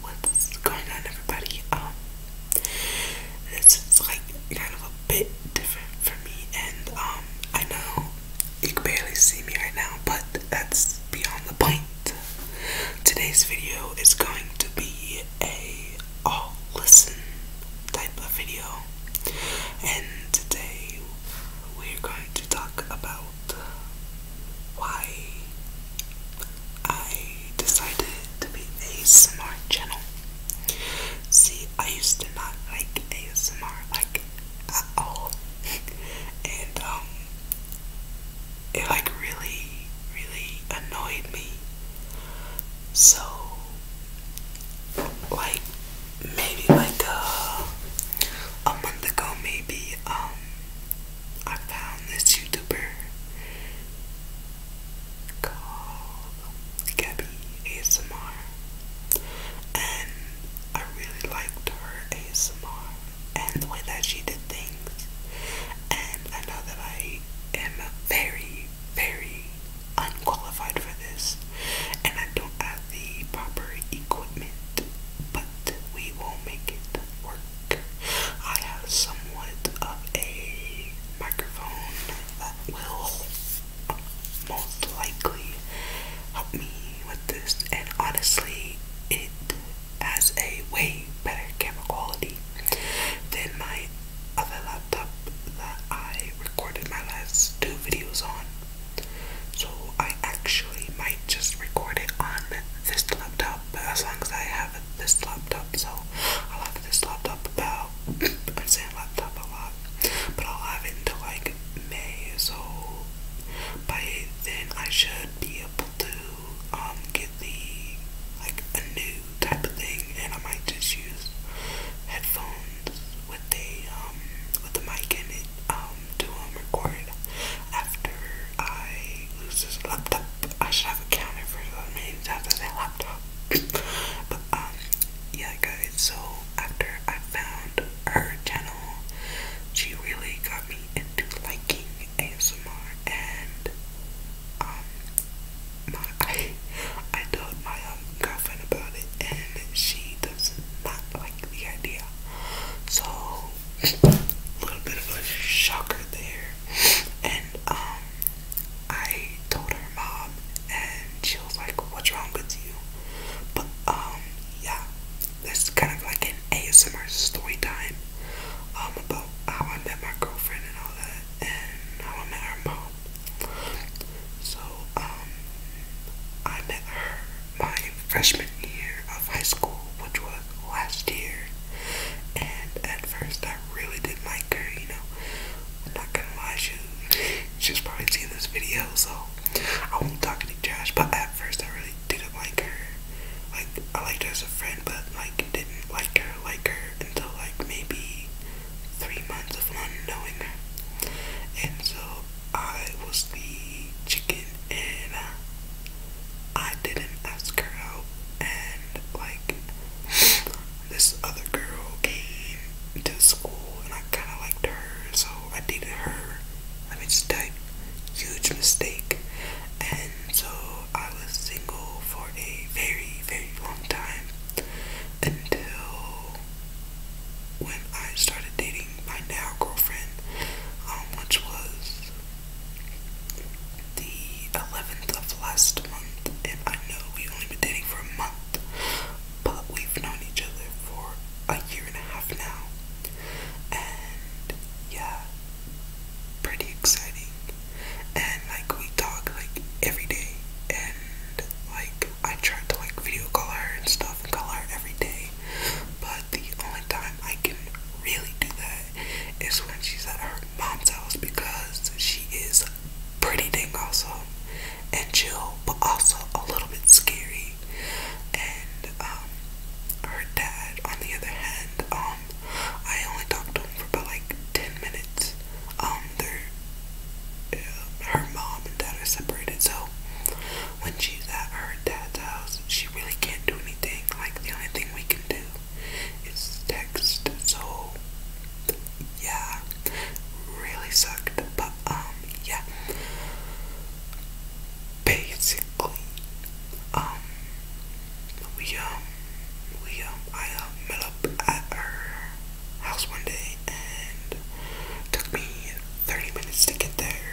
What's going on everybody? Um, this is like kind of a bit different for me and um, I know you can barely see me right now but that's beyond the point. Today's video is going to be a all listen type of video and today we're going to talk about about why I decided to be ASMR channel. See, I used to not like ASMR like at all, and um, it like really, really annoyed me. So, like maybe like a, uh, a month ago, maybe um, I found this YouTuber called Gabby ASMR, and I really liked her ASMR and the way that she did things. And I know that I am very, very unqualified for this, and I don't. I the proper equipment, but we will make it work. I have somewhat of a microphone that will most likely help me with this, and honestly, it has a way better camera quality than my other laptop that I recorded my last two videos on. So I actually might just record it on this laptop, but as long as I have this laptop, so I'll have this laptop about I'm saying laptop a lot, but I'll have it until like May, so by then I should be able to um get the like a new type of thing, and I might just use headphones with the um with the mic in it um to um, record after I lose this laptop. I should have accounted for the many times I said laptop. but um yeah guys so after I found her channel she really got me into liking ASMR and um my I I told my um, girlfriend about it, and she does not like the idea. So a little bit of a shocker there. And um, I told her mom, and she was like, "What's wrong with you?" But um, yeah, that's kind of like an ASMR story time um, about how I met my girlfriend and all that, and now I am met her mom so, um, I met her my freshman year of high school, which was last year. And at first, I really didn't like her, you know. I'm not gonna lie, she, she's probably seen this video, so I won't talk any trash. But at first, I really didn't like her. Like, I liked her as a friend, but like, didn't like her, like her until like maybe three months of not knowing her. And so I was the chicken and I didn't ask her out. And like this other girl came to school and I kind of liked her. So I dated her. I me just type huge mistake. And so I was single for a very, very long time until when I started dating my now girlfriend, um, which was the 11th of last month. And I know we've only been dating for a month, but we've known each other for a year and a half now. And yeah, pretty exciting and like we talk like every day and like I try to like video call her and stuff and call her every day but the only time I can really do that is when she's at her mom's house because she is pretty dang awesome and chill but also a little bit scary and um her dad on the other hand um I only talked to him for about like 10 minutes um, uh, her mom and dad are separated, so when she's at her dad's house, she really can't do anything. Like, the only thing we can do is text, so yeah, really sucked, but um, yeah, basically, um, we um we um I uh, met up at her house one day and took me 30 minutes to get there.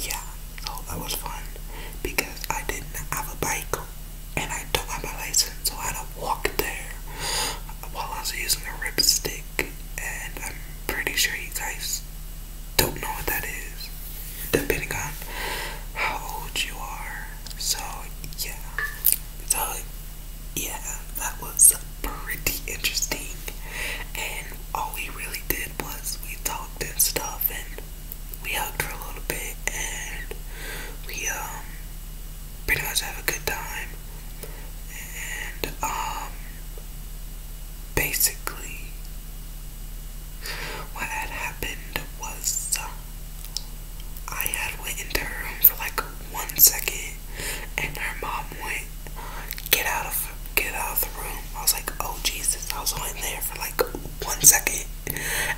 Yeah, so that was fun because I didn't have a bike and I don't have my license, so I had to walk there while I was using a ripstick. And I'm pretty sure you guys don't know what that is, depending on how old you are. So yeah, so yeah, that was pretty interesting. And all we really did was we talked and stuff, and we hugged for a little bit, and we um pretty much have a good time. And um, basically, what had happened was. Uh, I had went into her room for like one second, and her mom went, "Get out of, get out of the room." I was like, "Oh Jesus!" I was only there for like one second,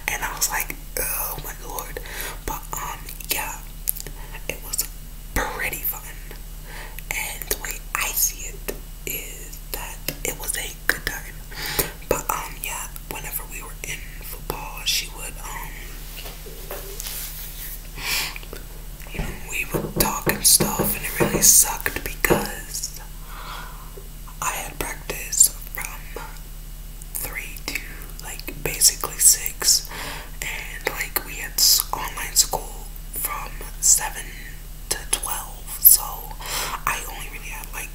and I was like, "Oh my lord!" But um, yeah, it was pretty fun, and the way I see it is that it was a good time. But um, yeah, whenever we were in football, she would um, you know, we would talk and stuff, and it really sucked because I had practice from three to like basically six, and like we had online school from seven to 12, so I only really had like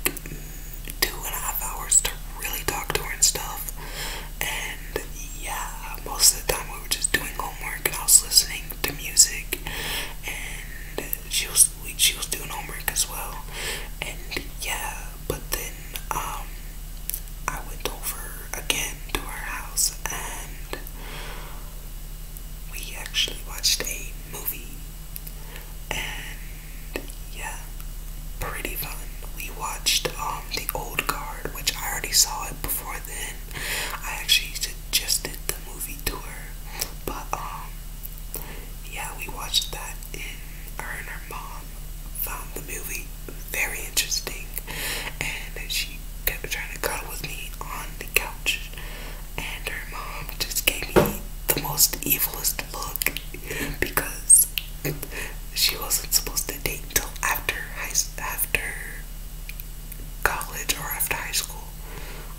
two and a half hours to really talk to her and stuff. And yeah, most of the time we were just doing homework and I was listening to music, and she was she was doing homework as well. And yeah, but then um, I went over again to her house and we actually watched a movie and yeah, pretty fun. We watched um the old guard, which I already saw it before then. I actually just did the movie tour, but um yeah, we watched that and her and her mom found the movie very interesting and she kept trying to cuddle with me on the couch and her mom just gave me the most evilest look because she wasn't supposed to date until after high after college or after high school.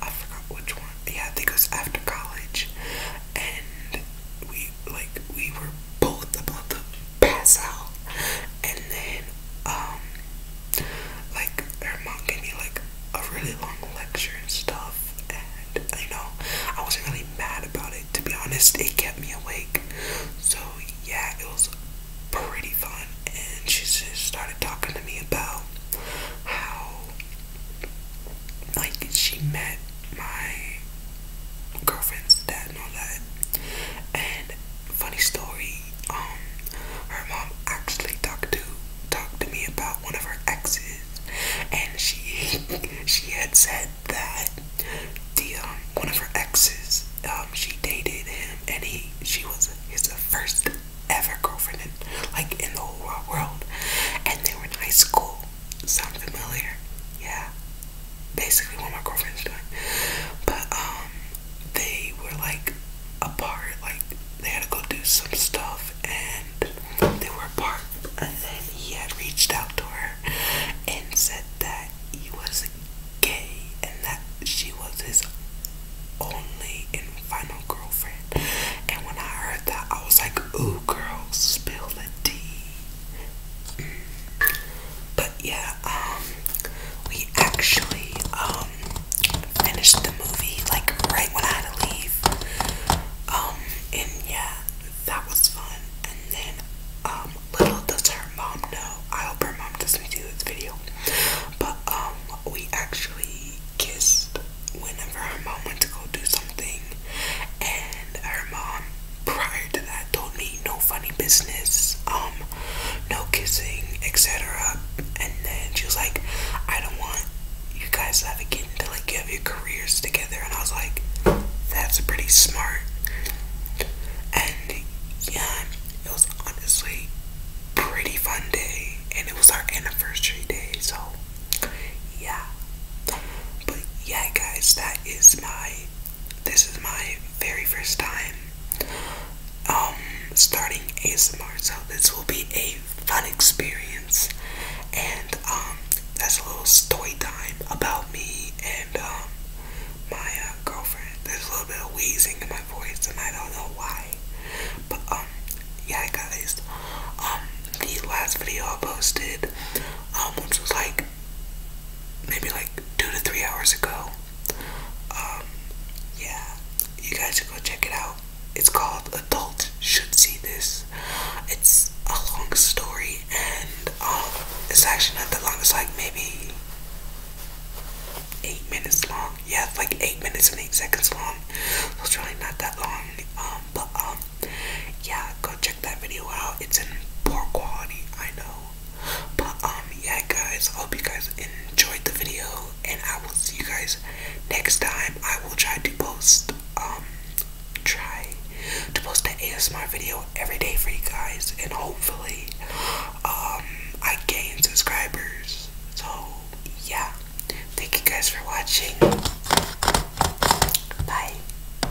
I forgot which one. Yeah, I think it was after college, and we like we were both about to pass out, and then um like, her mom gave me like a really long lecture and stuff, and you know, I wasn't really mad about it. To be honest, it kept me awake. So yeah, it was pretty fun. And she just started talking to me about how, like, she met my girlfriend's dad and all that. And funny story, um, her mom actually talked to talked to me about one of her exes and she she had said that the um one of her exes um she dated him and he she was his first ever girlfriend in, like in the whole world and they were in high school sound familiar yeah basically what my girlfriend's doing but um they were like apart. Like they had to go do some stuff, and they were apart. And then he had reached out to her and said that he was gay and that she was his only and final girlfriend. And when I heard that, I was like, "Ooh, girl, spill the tea." Mm. But yeah, um, we actually um, finished the movie like right when I had to leave. Um, and yeah, that was fun. And then, um, little does her mom know. I hope her mom doesn't see this video. But, um, we actually kissed whenever her mom went to go do something. And our mom, prior to that, told me no funny business, um, no kissing, etc. And then she was like, I don't want you guys to have a kid until like you have your careers together. And I was like, that's pretty smart. And yeah, it was honestly pretty fun day, and it was our anniversary day, so yeah. But yeah, guys, that is my. This is my very first time um, starting ASMR. So this will be a fun experience, and um, that's a little story time about me and um, my uh, girlfriend. There's a little bit of wheezing in my voice, and I don't know why, but um, yeah, guys, um, the last video I posted, um, was like maybe like two to three hours ago. Um, yeah, you guys should go check it out. It's called Adult Should See This. It's a long story, and um, it's actually not that long. It's like maybe eight minutes long. Yeah, like eight minutes and eight seconds long. So it's really not that long. Um, but um, yeah, go check that video out. It's in poor quality, I know. But um yeah guys, I hope you guys enjoyed the video and I will see you guys next time. I will try to post um try to post an ASMR video every day for you guys and hopefully um I gain subscribers. So yeah. Thank you guys for watching. Bye.